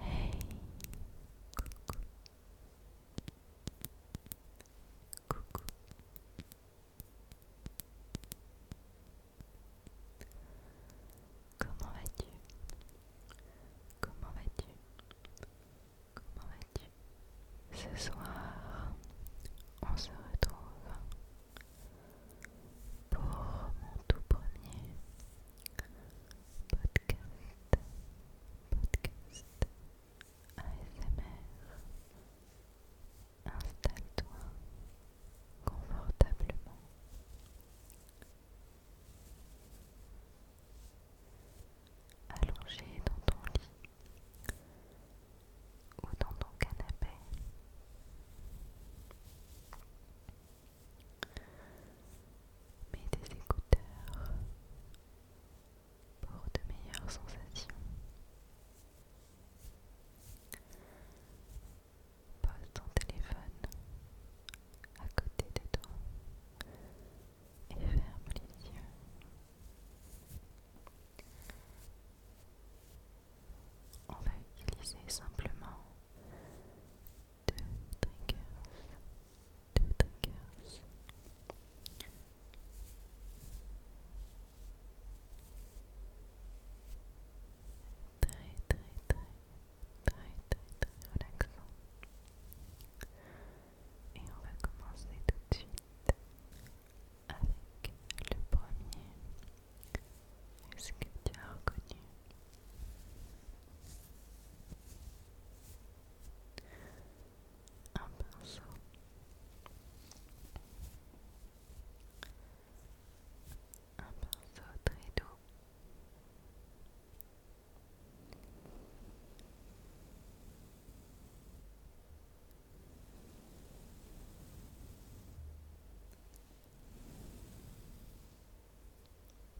Hey, coucou, comment vas-tu? Comment vas-tu? Comment vas-tu? Ce soir, on se retrouve pour mon tout premier podcast, podcast, ASMR. Installe-toi confortablement. Allongé dans ton lit ou dans ton canapé. Mets des écouteurs pour de meilleures sensations. Pose ton téléphone à côté de toi et ferme les yeux. On va utiliser simplement deux triggers. Très, très, très, très, très, très relaxant. Et on va commencer tout de suite avec le premier. Est-ce que tu as reconnu un pinceau un pinceau très doux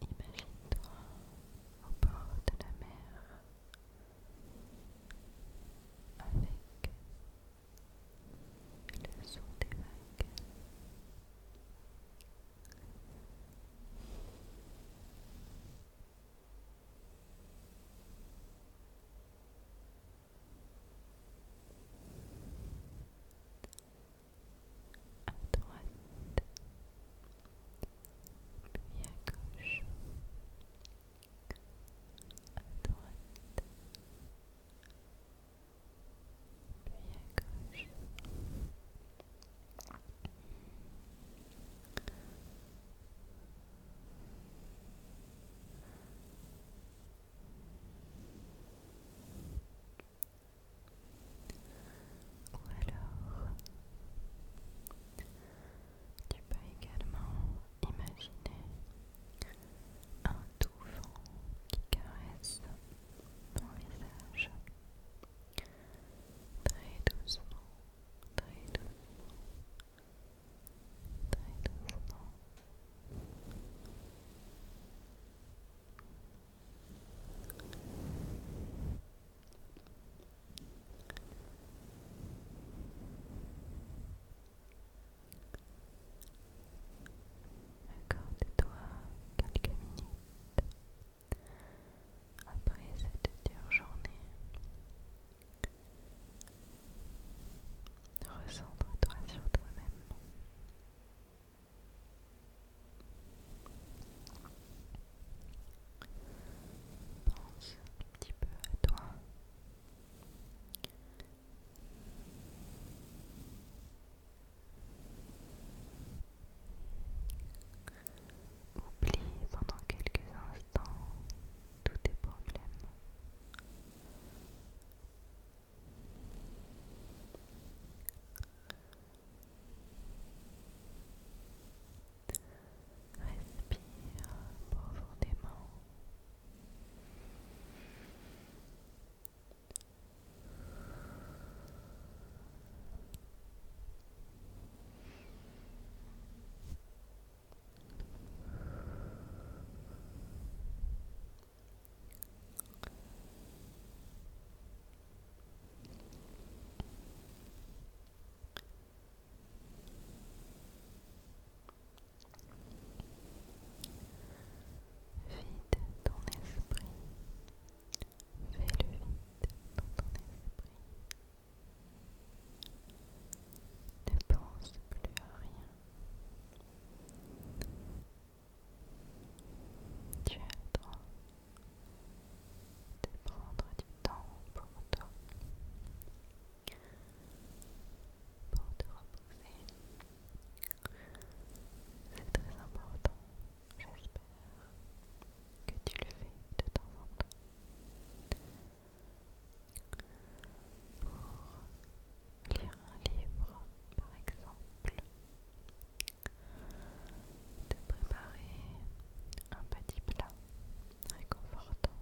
Imagine-toi au bord de la mer avec le son des vagues à droite, puis à gauche, à droite, puis à gauche. Ou alors, tu peux également imaginer un doux vent qui caresse ton visage très doucement, très doucement, très doucement accorde toi quelques minutes après cette dure journée. Recentre-toi sur toi-même. Pense un petit peu à toi. Oublie pendant quelques instants tous tes problèmes. Respire profondément. Vide ton esprit. Fais le vide dans ton esprit. Ne pense plus à rien. Tu as le de prendre du temps pour toi, pour te reposer. C'est très important, j'espère que tu le fais de temps en temps lire un livre par exemple, de préparer un petit plat réconfortant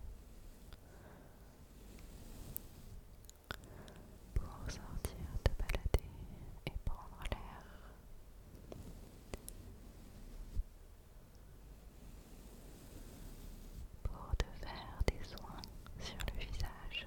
pour sortir de balader et prendre l'air. Pour te faire des soins sur le visage.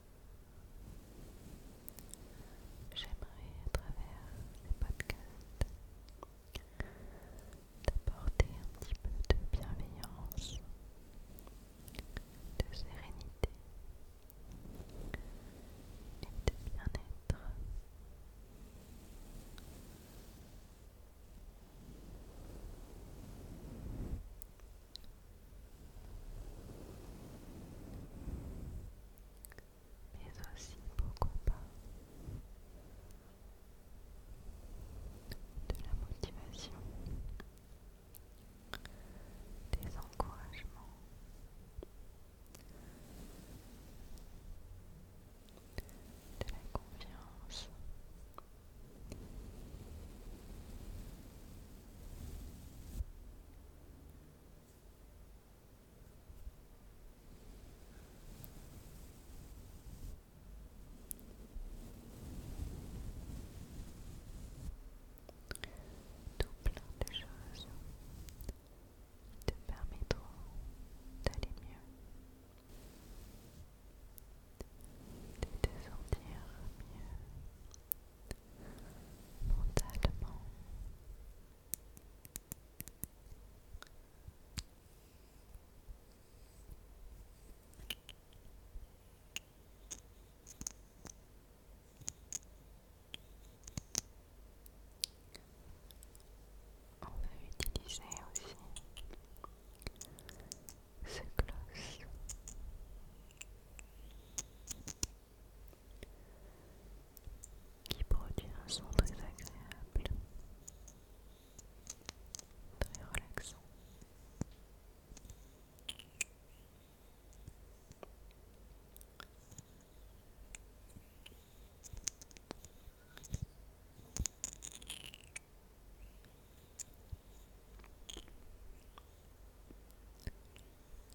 J'aimerais à travers les podcasts t'apporter un petit peu de bienveillance, de sérénité et de bien-être mais aussi beaucoup pas de la motivation, des encouragements, de la confiance. Tout plein de choses te permettront d'aller mieux, de te sentir mieux, on va utiliser aussi ce gloss qui produit un son très agréable, très relaxant.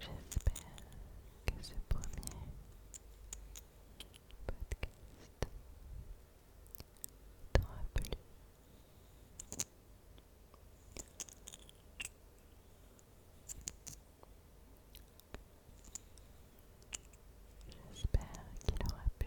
J'espère que ce premier podcast t'aura plu. J'espère qu'il aura pu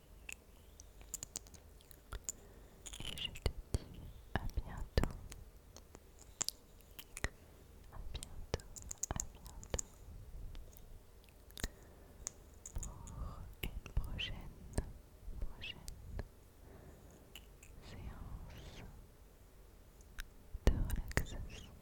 je te dis à bientôt. À bientôt, à bientôt. Pour une prochaine, prochaine séance de relaxation.